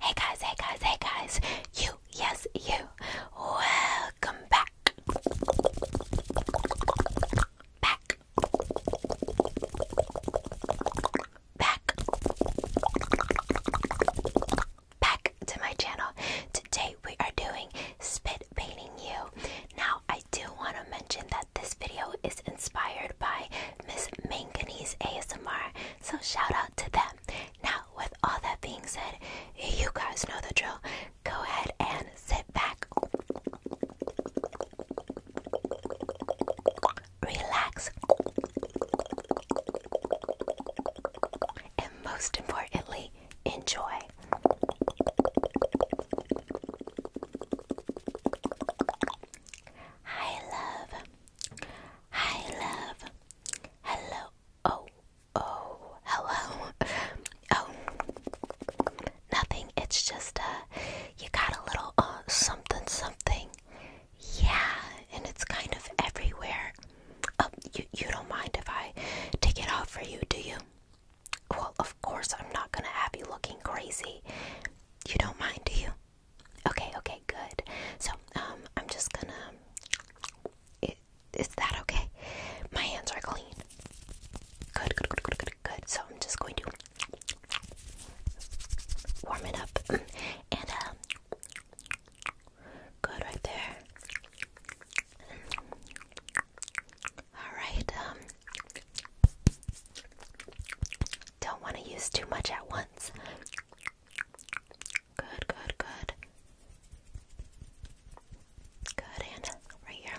Hey guys, hey guys, hey guys. You, yes, you. Welcome back. Back. Back. Back to my channel. Today we are doing spit painting you. Now I do want to mention that this video is inspired by Miss Manganese ASMR, so shout out to them. Now, with all that being said, you guys know the drill. Go ahead and sit back, relax, and most importantly, enjoy. Hi love. Hi love. Hello. Oh. Oh. Hello. Oh. Nothing. It's just uh you got a little uh something something. Yeah, and it's kind of everywhere. Oh, you you don't mind if I take it off for you, do you? Well, of course I'm not gonna have you looking crazy. You don't mind, do you? Okay, okay, good. So, um, I'm just gonna. It, is that okay? My hands are clean. Good, good, good, good, good, good. So, I'm just going to warm it up. And, um, good right there. Alright, um, don't want to use too much at once. Good, good, good. Good, and right here.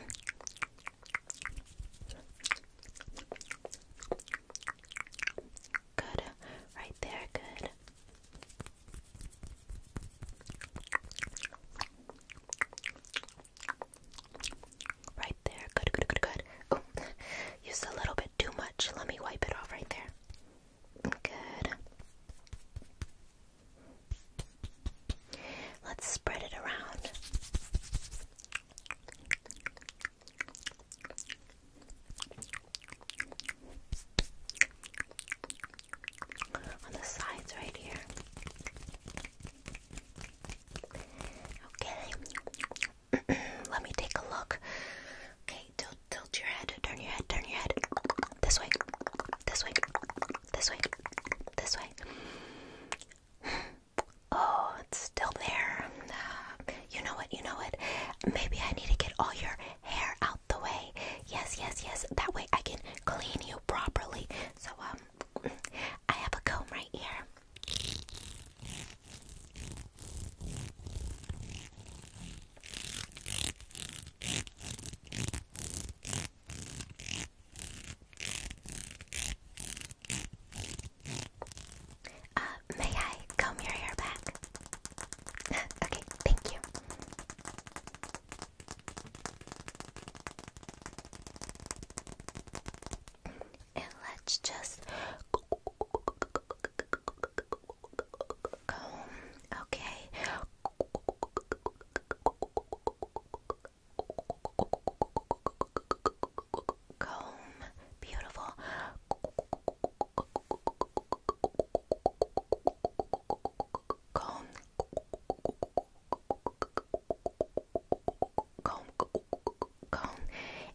Good, right there, good. Right there. Good, good, good, good. Oh, used a little bit too much. Let me wipe it off right there. Good. Let's spread it around. On the sides, right here. Okay. Let me take a look. Okay, tilt, tilt your head. Turn your head. Turn your head. This way. This way. This way. This way. Oh, it's still there. Uh, you know what? You know what? Maybe I need to get all your hair out the way. Yes, yes, yes. That way I can clean you properly. So, um, I have a comb right here. Uh, may I comb your hair back? okay, thank you and let's just comb, okay? Comb, beautiful. Comb comb, comb,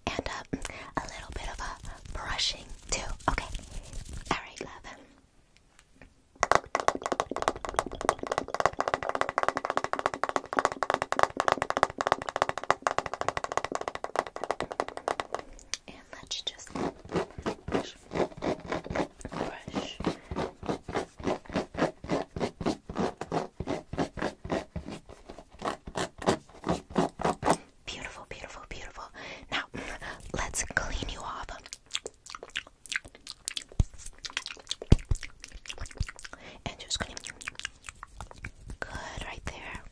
and um, a little bit of a brushing too. Okay, all right, love. And let's just brush, brush. Beautiful, beautiful, beautiful. Now, let's clean you off. And just Good, right there.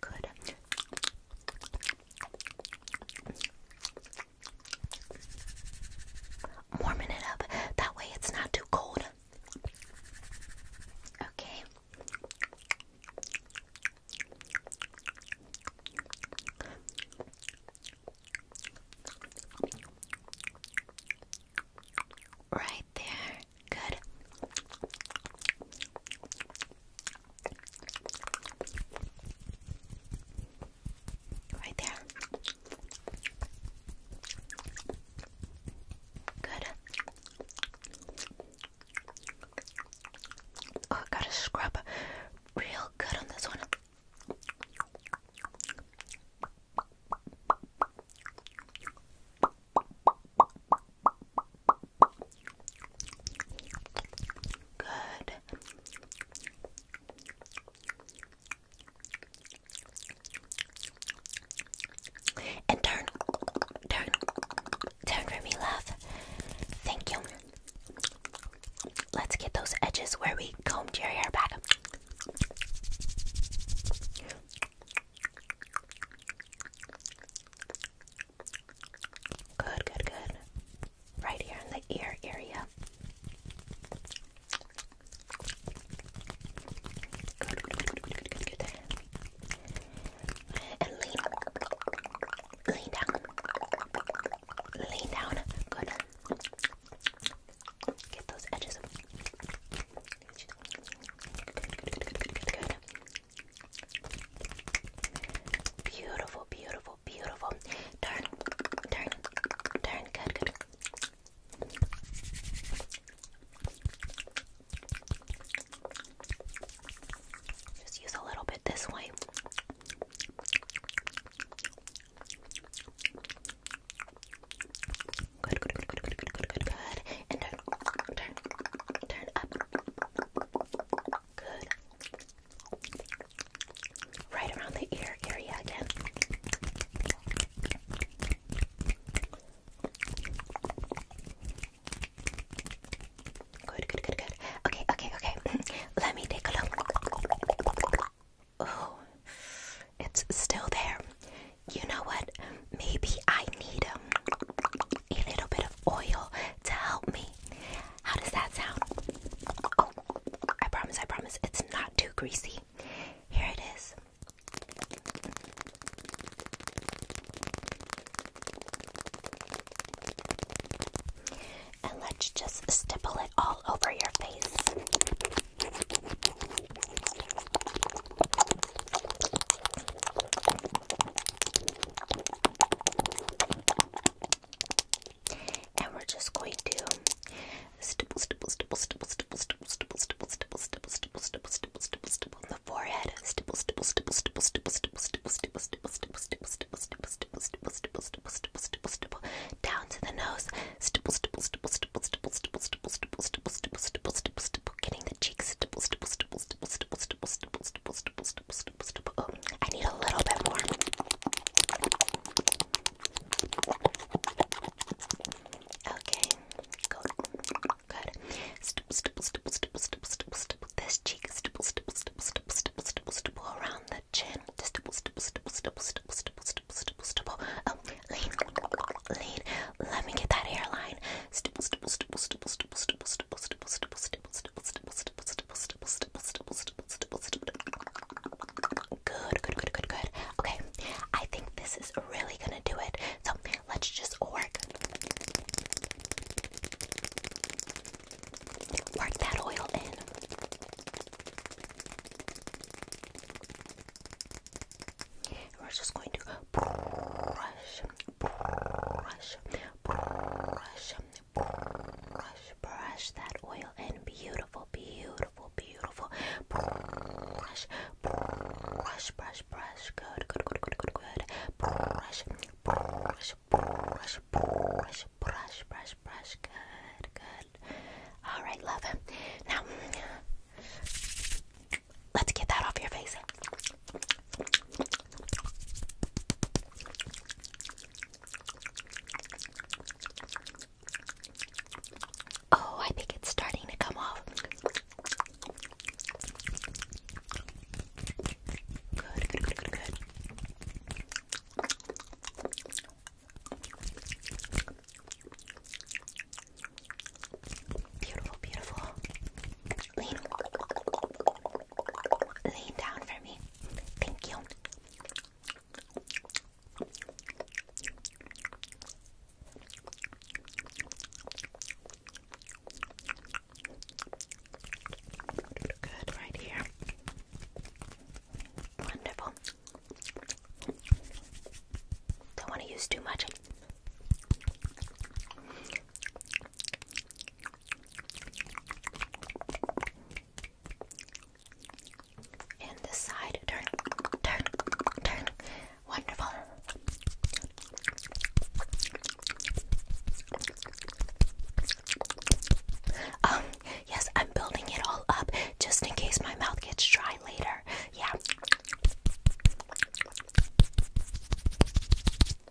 Good. Warming it up. That way it's not too cold. Okay. Right there. Good. Right there. Good. Oh, gotta scrub real good on this one. Good. And turn, turn, turn for me, love. Thank you. Let's get those edges where we combed your hair back. Good, good, good. Right here in the ear area. And lean, lean down, lean down. Good. Get those edges. Good, Beautiful, beautiful, beautiful. Turn, turn, turn. Good, good. Just use a little bit this way. Good, good, good, good, good, good, good, good, And turn, turn, turn up. Good. Right around the ear area again. Good, good, good, good. Okay, okay, okay. Let me take a look. Oh, it's still there. You know what? Maybe I need um, a little bit of oil to help me. How does that sound? Oh, I promise, I promise. It's not too greasy. Here it is. And let's just stipple it all over your face. And we're just going to stipple, stipple, stipple, stipple, stipple, stipple, stipple, stipple, stipple, stipple, stipple, stipple, stipple, stipple, stipple on the forehead, stipple, stipple, stipple, stipple, stipple, stipple, stipple, stipple, stipple, stipple, stipple, stipple, stipple, stipple, stipple, stipple, stipple, stipple, stipple, down to the nose, stipple, stipple, stipple, stipple, stipple, stipple, stipple, stipple, stipple, stipple, stipple, stipple, stipple, getting the cheeks, stipple, stipple, stipple, stipple, stipple, stipple, stipple, stipple, stipple, stipple, stipple, stipple. Oh, I need a little bit more. Okay, good, good. Stipple, stipple, stipple, stipple, stipple, stipple, stipple. This cheek, stipple, stipple, stipple, stipple, stipple, stipple, stipple. Around the chin, stipple, stipple, stipple, stipple, stipple, stipple, stipple, stipple, stipple. Oh, lean, lean. Let me get that hairline. Stipple, stipple, stipple, stipple, stipple, stipple, stipple, stipple, stipple, stipple, stipple, stipple, stipple, stipple, stipple, stipple, stipple, stipple, stipple, stipple. Good, good, good, good, good. Okay, I think this is really gonna do it. So let's just work. Work that oil in. We're just going to brush, brush, brush, brush, brush that oil in. Beautiful, beautiful beautiful, beautiful. Brush, brush, brush, brush. Good, good, good, good, good, good. Brush, brush, brush, brush, brush, brush, brush. Good, good. All right, love. Now, let's get that off your face. Oh, I think it's starting to come off. Good, good, good, good, Beautiful, beautiful. Lean down for me. Thank you. Good, right here. Wonderful. Don't want to use too much and this side. Turn, turn, turn. Wonderful. Um, yes, I'm building it all up just in case my mouth gets dry later. Yeah.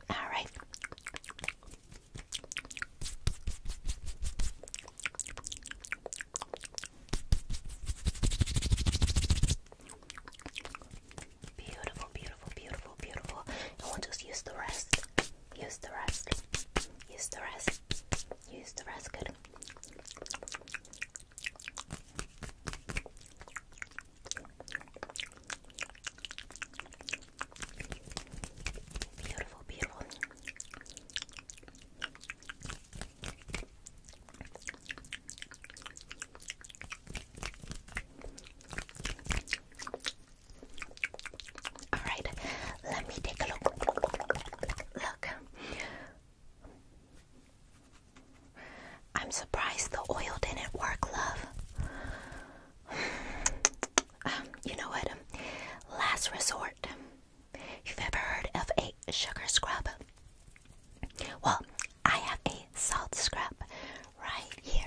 All right. Beautiful, beautiful, beautiful, beautiful. And will just use the rest. Use the rest. Use the rest. Use the rest. Good. Beautiful, beautiful. All right, let me take a look. Look, I'm surprised the oil didn't work, love. Um, you know what? Last resort. You've ever heard of a sugar scrub? Well, I have a salt scrub right here.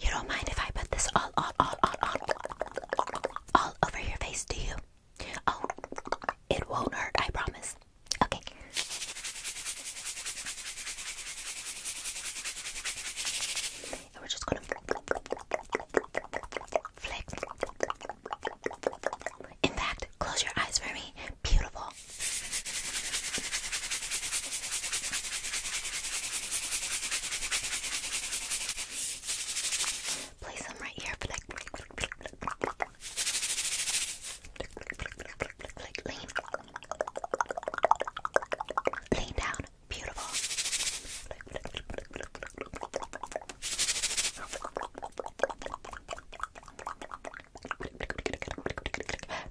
You don't mind if I put this all, all, all, all, all, all over your face, do you? Oh, it won't hurt, I promise. Okay. we're just gonna flick. In fact, close your eyes for me. Beautiful. Place them right here, but like, like lean, lean down. Beautiful.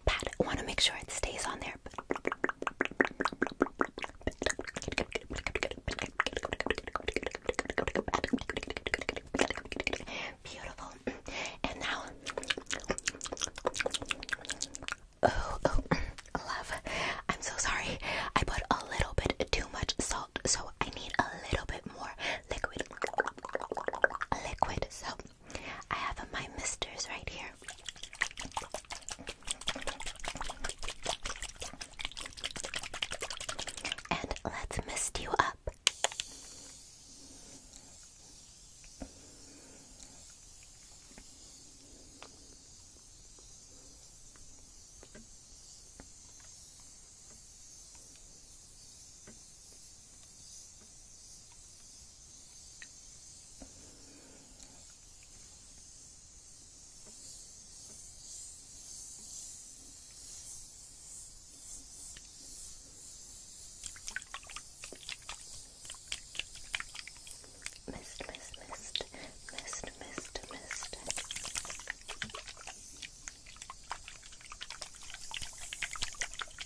Pat, I want to make sure it stays on there. Beautiful. And now, oh, oh, love. I'm so sorry. I put a little bit too much salt, so I need a little bit more liquid. Liquid. So I have my misters right here. And let's mist you up. Mist, mist, mist, mist, mist, mist.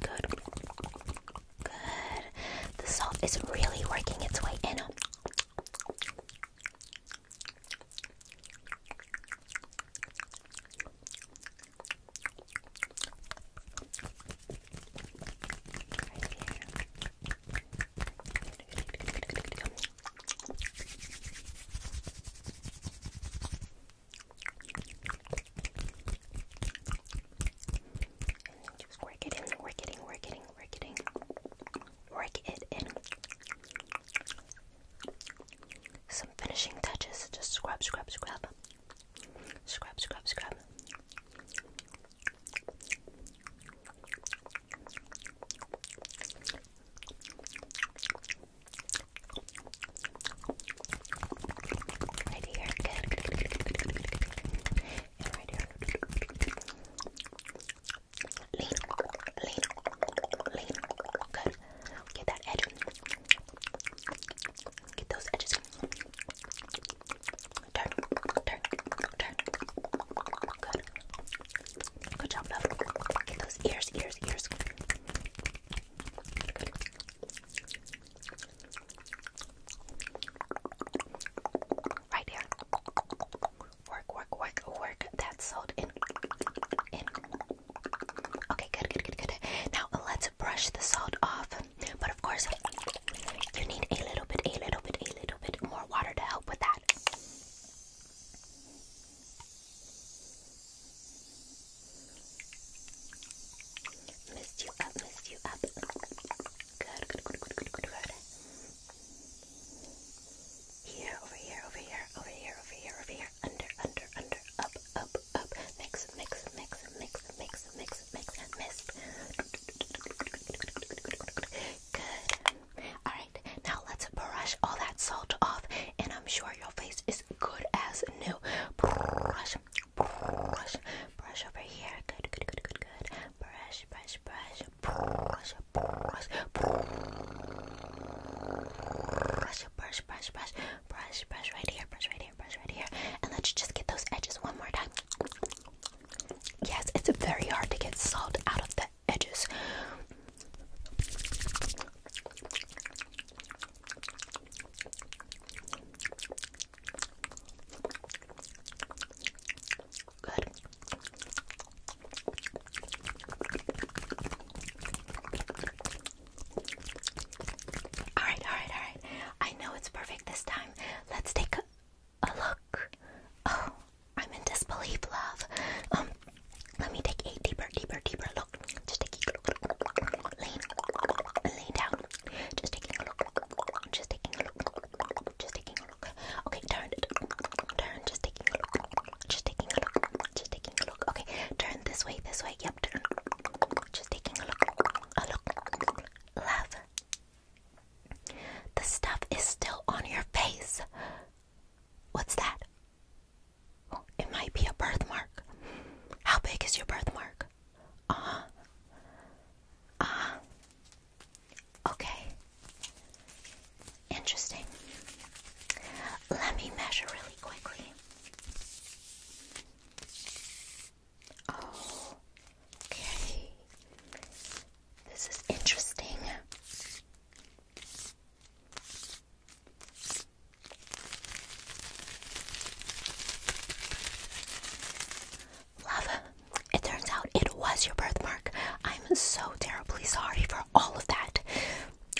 Good. Good. The salt is really working its way in then just work it in, work it in, work it in, work it in, work it in. Some finishing touches, just scrub, scrub, scrub. Scrub, scrub, scrub. Right here, good, good, good, good, good, good, good, good. And right here. Lean, lean, lean. Good. Get that edge. Get those edges. Turn, turn, turn. Good. Good job, love. Get those ears, ears, ears. Right here. Work, work, work, work. That salt in. In. Okay, good, good, good, good. Now let's brush the salt off. But of course, you need a little bit, a little bit, a little bit more water to help with that. Missed you up, missed you up. Good, good, good, good, good, good, good. Here, over here, over here, over here, over here, over here. Under, under, under, up, up, up. Mix, mix, mix, mix, mix, mix, mix, missed. Good. All right. Alright, now let's brush all that salt off, and I'm sure your face is good as new. Brush, brush, brush over here. Good, good, good, good, good. Brush, brush, brush, brush, brush, brush, brush, brush, brush, brush, brush right here, brush right here, brush right here. And let's just get those edges one more time. Yes, it's very hard to get salt out of the edges. Good. All right, all right, all right. I know it's perfect this time. Let's take a, look. Oh, I'm in disbelief, love. Um, let me take a deeper, deeper, deeper look. Just taking a look. Lean, lean down. Just taking a look. Just taking a look. Just taking a look. Okay, turn, turn. Just taking a look. Just taking a look. Just taking a look. Okay, turn this way, this way. Yep, turn. Just taking a look. A look. Love. The stuff is still on your face. What's that? it might be a birthmark. How big is your birthmark? Uh huh. Uh-huh. Okay. Interesting. Let me measure really quickly. Oh, okay. This is interesting. Love, it turns out it was your birthmark. I'm so terribly sorry for all of that.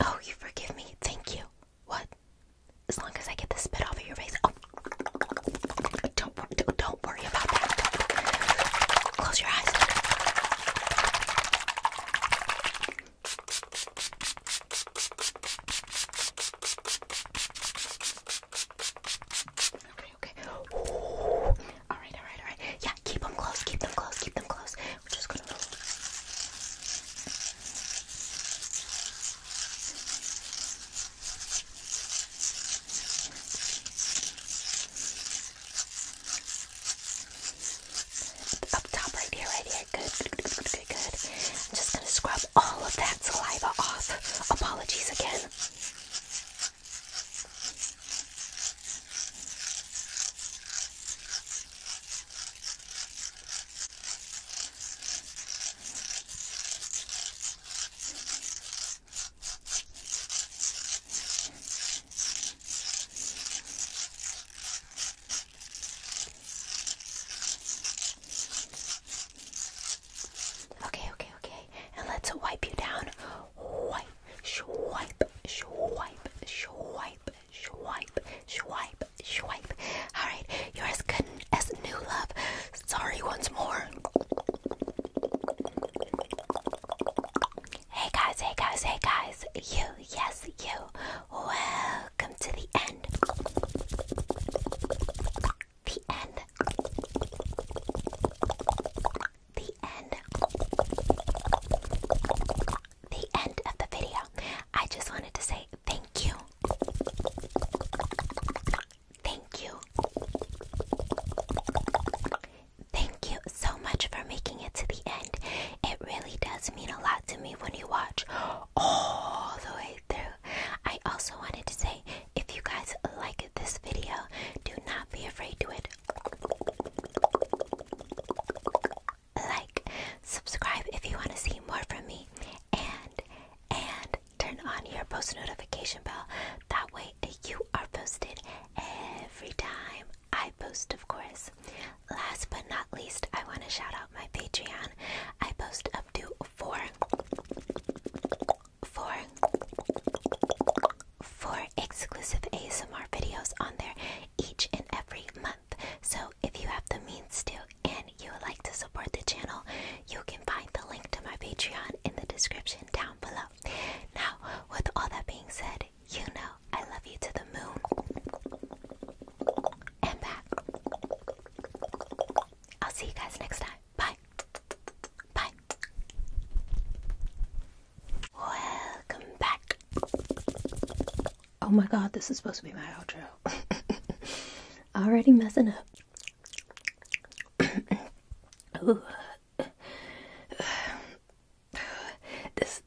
Oh, you forgive me. Thank you. What? As long as I get the spit off of your face. Oh, don't, don't worry about that. Close your eyes. Okay, okay. Ooh. All right, all right, all right. Yeah, keep them close, keep them close, keep them close. We're just gonna. Up top, right here, right here. Good, good, good, good, I'm just gonna scrub all of that saliva off. Apologies again. Okay, okay, okay. And let's wipe you down. Wipe, swipe, swipe, swipe, swipe, swipe, swipe. All right, you're as good as new love. Sorry once more. Hey guys, hey guys, hey guys. You yes, you. Welcome to the end. The end. The end. The end of the video. I just wanted to say thank you. Thank you. Thank you so much for making it to the end. It really does mean a lot to me when you watch all the way through. I also wanted to say if you guys like this video, do not be afraid to it. Like, subscribe if you want to see more from me, and and turn on your post notification bell. That way you are posted every time I post, of course. Last but not least, I want to shout out my Patreon. I post up to four, four, four exclusive ASMR videos on there each and every month. So if you have the means to and you would like to support the channel, you can find the link to my Patreon in the description down below. Now, with all that being said, you know I love you to the moon and back. I'll see you guys next time. Bye. Bye. Welcome back. Oh my god, this is supposed to be my outro. Already messing up. This,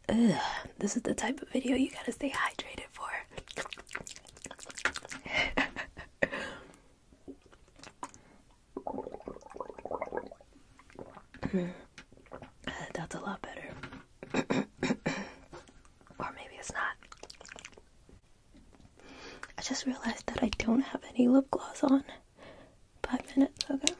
this is the type of video you gotta stay hydrated for. That's a lot better. or maybe it's not. I just realized that I don't have any lip gloss on. Five minutes, ago.